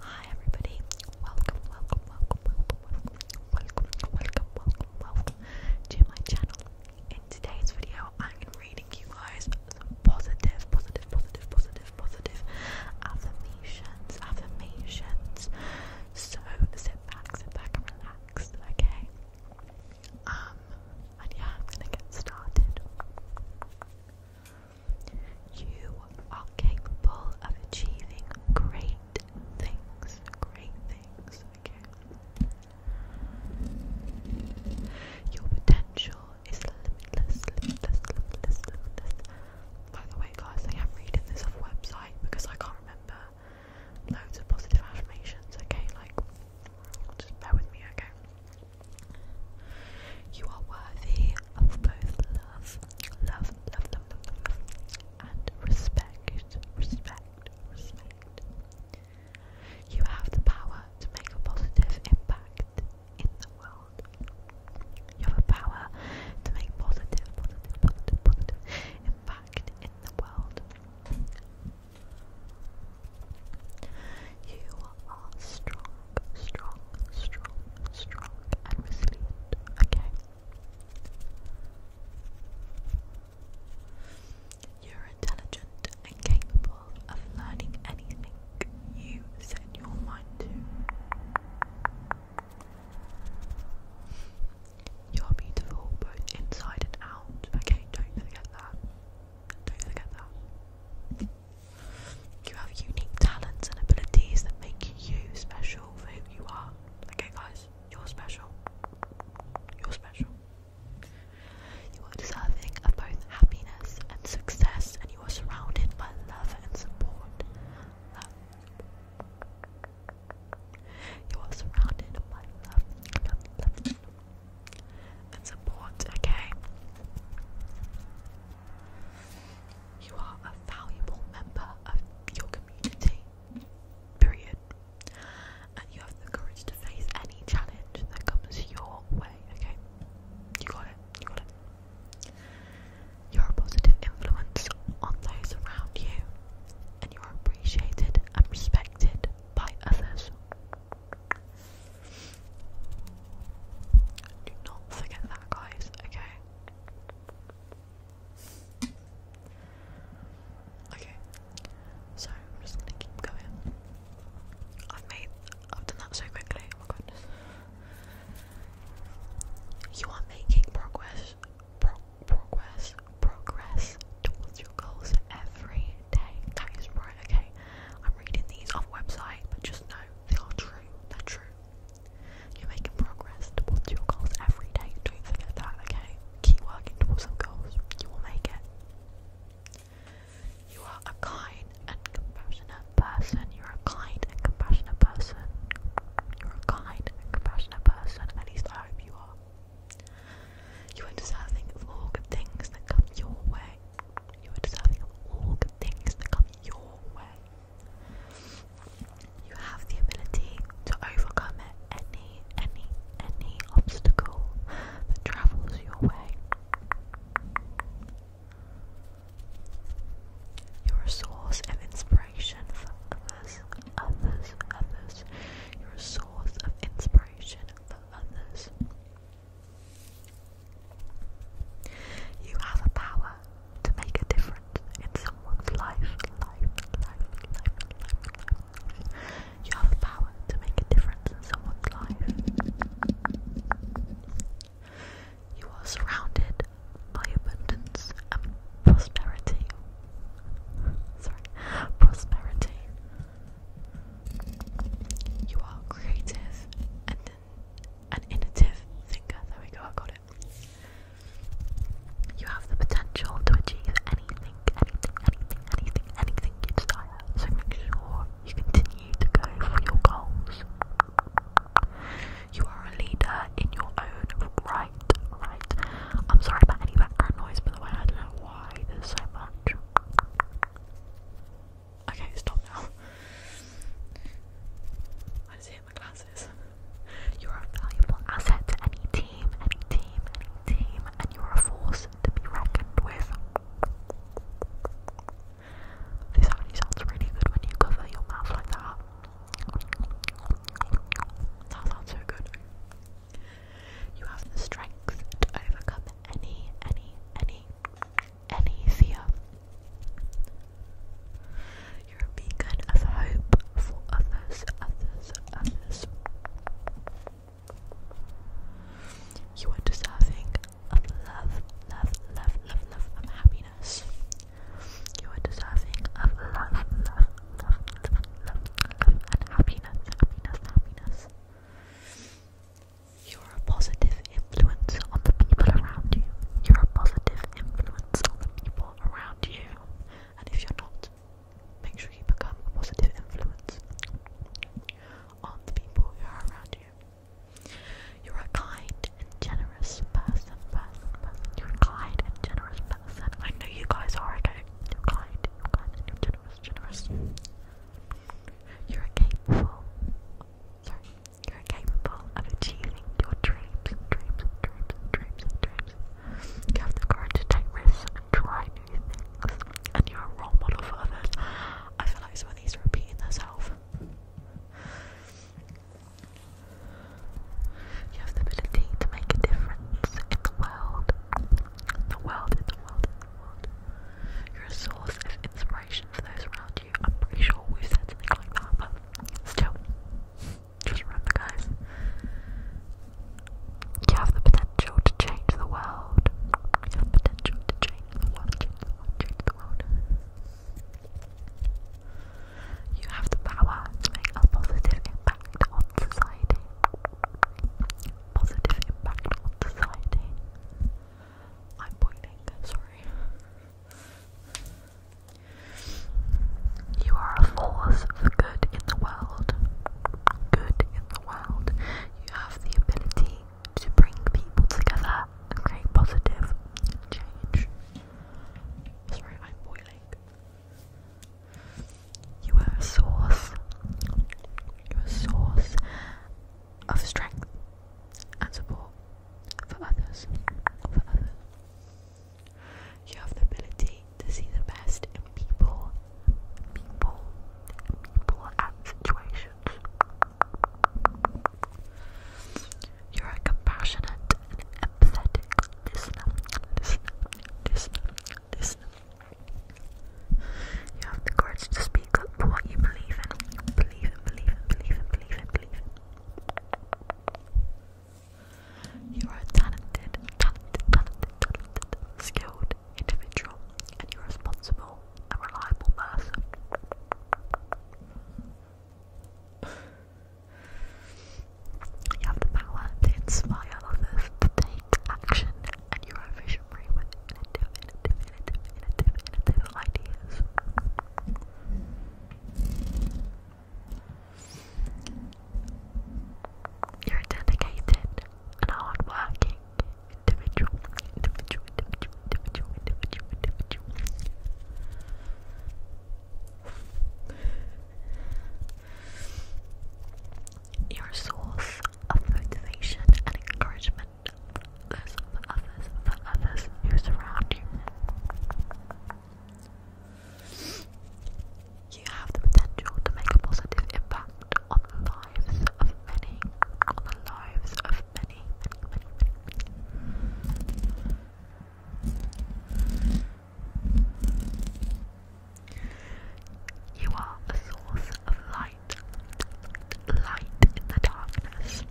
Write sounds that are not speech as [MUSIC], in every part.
Hi everybody, welcome, welcome, welcome, welcome, welcome, welcome, welcome, welcome to my channel. In today's video, I'm going to be reading you guys positive affirmations. So sit back, sit back and relax, okay? Um, and yeah, I'm going to get started. You are capable of achieving great things. Great things, okay? Your potential is limitless, limitless, limitless, limitless. By the way, guys, I am reading this off a website because I can't remember loads of positive affirmations, okay? Like, just bear with me, okay? You are worthy of both love love, love, love, love, love, and respect, respect, respect. You have the power to make a positive impact in the world. You have a power to make positive, positive, positive, positive impact in the world. You are strong, strong, strong, strong, and resilient. Okay. You're intelligent capable of learning anything you set your mind to. You're beautiful both inside and out. Okay, don't forget that. Don't forget that. You have unique talents and abilities that make you special for who you are. Okay, guys, you're special. You're special. You are deserving of both happiness and success, and you are surrounded by love and support. Love. You are surrounded by love, love, love, love and support. Okay. You are a valuable member of your community, period. And you have the courage to face any challenge that comes your way, okay? You got it, you got it. You're a positive influence on those around you, and you're appreciated and respected by others. Do not forget that, guys, okay? Okay, so I'm just gonna keep going. I've made, I've done that so quickly, oh my goodness. You are making progress, progress, progress towards your goals every day. That is right, okay? I'm reading these off website, but just know they are true. They're true. You're making progress towards your goals every day. Don't forget that, okay? Keep working towards some goals. You will make it. You are a kind and compassionate person. You're a kind and compassionate person. You're a kind and compassionate person. At least I hope you are. You are deserving of all good things that come your way. You are deserving of all good things that come your your way. You have the ability to overcome any, any, any obstacle that travels your way. You're a source of inspiration for others, others, others. You're a source of inspiration for others. You have the power to make a difference in someone's life, life, life, life, life, life. You have the power to make a difference in someone's life. You are surrounded by abundance and prosperity. Sorry, prosperity. You are creative and an innovative thinker. There we go, I got it. You have the potential to achieve anything, anything, anything, anything, anything you desire. So make sure you continue to go for your goals. You are a leader in your own right, right. I'm sorry about any background noise, by I don't know why there's so much. Okay, stop now. I just hit my glasses. You're a valuable asset to any team, any team, any team, and you're a force to be reckoned with. This actually sounds really good when you cover your mouth like that. That sounds so good. You have the strength to overcome any, any, any anything. You're a beacon of hope for others, others, others. You are deserving of love, love, love, love, love, of happiness. You are deserving of love, love, love, love, love, and happiness, happiness, happiness. You're a positive influence on the people around you. You're a positive influence on the people around you. And if you're not, make sure you become a positive influence on the people who are around you. You're a kind and generous person, You're kind and generous person. I know you guys are, okay? You're kind, kind, and generous, generous. You're a capable, you're capable of achieving your dreams dreams dreams dreams dreams. You have the courage to take risks and try new things. And you're a role model for others. I feel like somebody's repeating herself. You have the ability to make a difference in the world. The world, in the world, you're a source of inspiration for those around you. I'm pretty sure we've said something like that, but still, just remember, guys, you have the potential to change the world. You have the potential to change the world, change the world. You have the power to make a positive impact on society. Positive impact on society. I'm pointing, sorry. You are a force for good in the world. Good in the world. You have the ability to bring people together and create positive change. Sorry, I'm boiling. You are a source. You're a source of strength and support for others. You have the ability to see the best in people, people, people and situations. You're a compassionate and empathetic listener, You have the courage to speak you believe in. Believe in, believe in, believe in, believe in, believe in. You are a talented, talented, talented, talented, skilled individual, and you're responsible and reliable person. You have the power to inspire others to action, and you're a you're a dedicated and hardworking individual, individual, individual, individual, individual, individual. Your source of motivation and encouragement because others, for others who surround you, you have the potential to make a positive impact on the lives of many, on the lives of many. You are a source of light light, in the darkness.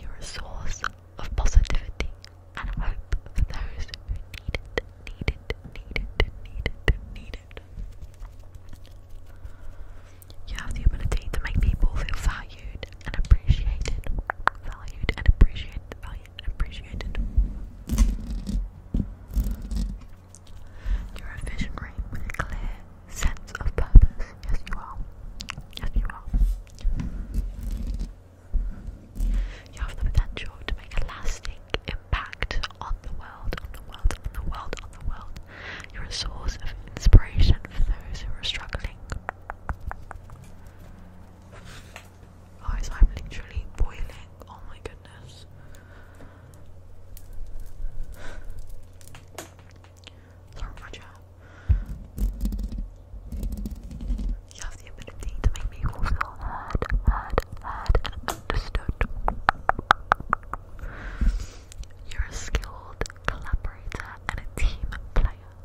You're a source of positivity and hope for those who need it, need it, need You have the ability to make people feel valued and appreciated, valued and appreciated, valued and appreciated. You're a visionary with a clear sense of purpose. Yes, you are. Yes, you are. You have the potential to make a lasting impact on the world, on the world, on the world, on the world. You're a source of inspiration for those who are struggling. Guys, I'm literally boiling. Oh my goodness. Sorry, my chat. You have the ability to make people feel heard, heard, heard, understood. You're a skilled collaborator and a team player.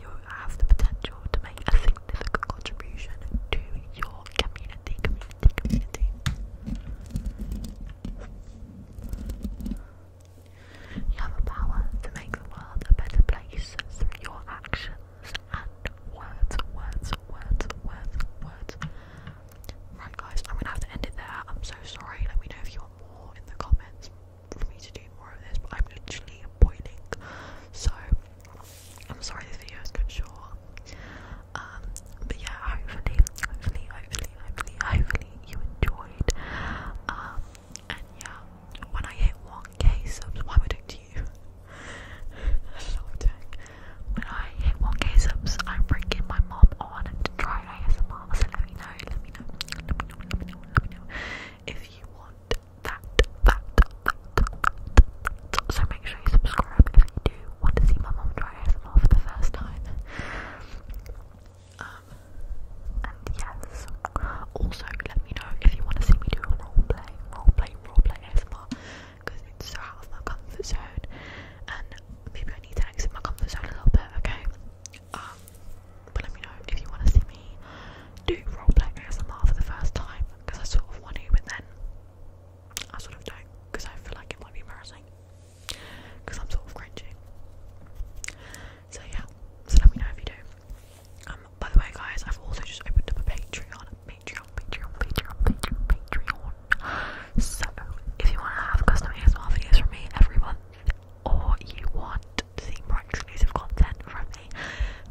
You have the potential to make a significant contribution to your you have a power to make the world a better place your actions and words, words, words, words, words. Right, guys, I'm gonna have to end it there. I'm so sorry. Let me know if you want more in the comments for me to do more of this, but I'm literally boiling. So, I'm sorry this video is bit short. Um, but yeah, hopefully, hopefully, hopefully, hopefully, hopefully you enjoyed. Um, and yeah, when I hit 1k subs, why am I don't [LAUGHS] know what When I hit 1k subs, I'm bringing my mom on try ASMR, let me know, let me know, let me know, let me know, let me know if you want that, that, that, so make sure you subscribe if you do want to see my mom try ASMR for the first time. Um, and yes, also let me know if you want to see me do a roleplay, roleplay, roleplay ASMR because it's so out of my comfort zone and maybe I need to exit my comfort zone a little bit, okay? Um, but let me know if you want to see me do roleplay ASMR for the first time because I sort of want to, but then I sort of don't, because I feel like it might be embarrassing, because I'm sort of cringing. So yeah, so let me know if you do. Um, by the way, guys, I've also just opened up a Patreon, Patreon, Patreon, Patreon, Patreon, Patreon. if you want to have custom ASMR videos from me every month, or you want to more exclusive content from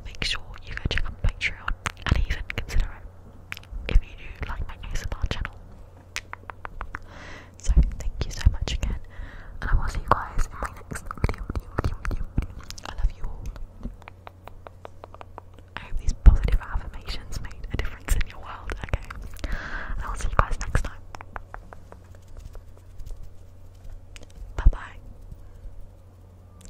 make sure you go check out Patreon and even consider it if you do like my ASMR channel. So thank you so much again, and I will see you guys in my next video. video. I love you all. I hope these positive affirmations made a difference in your world. Okay, and I will see you guys next time. Bye bye.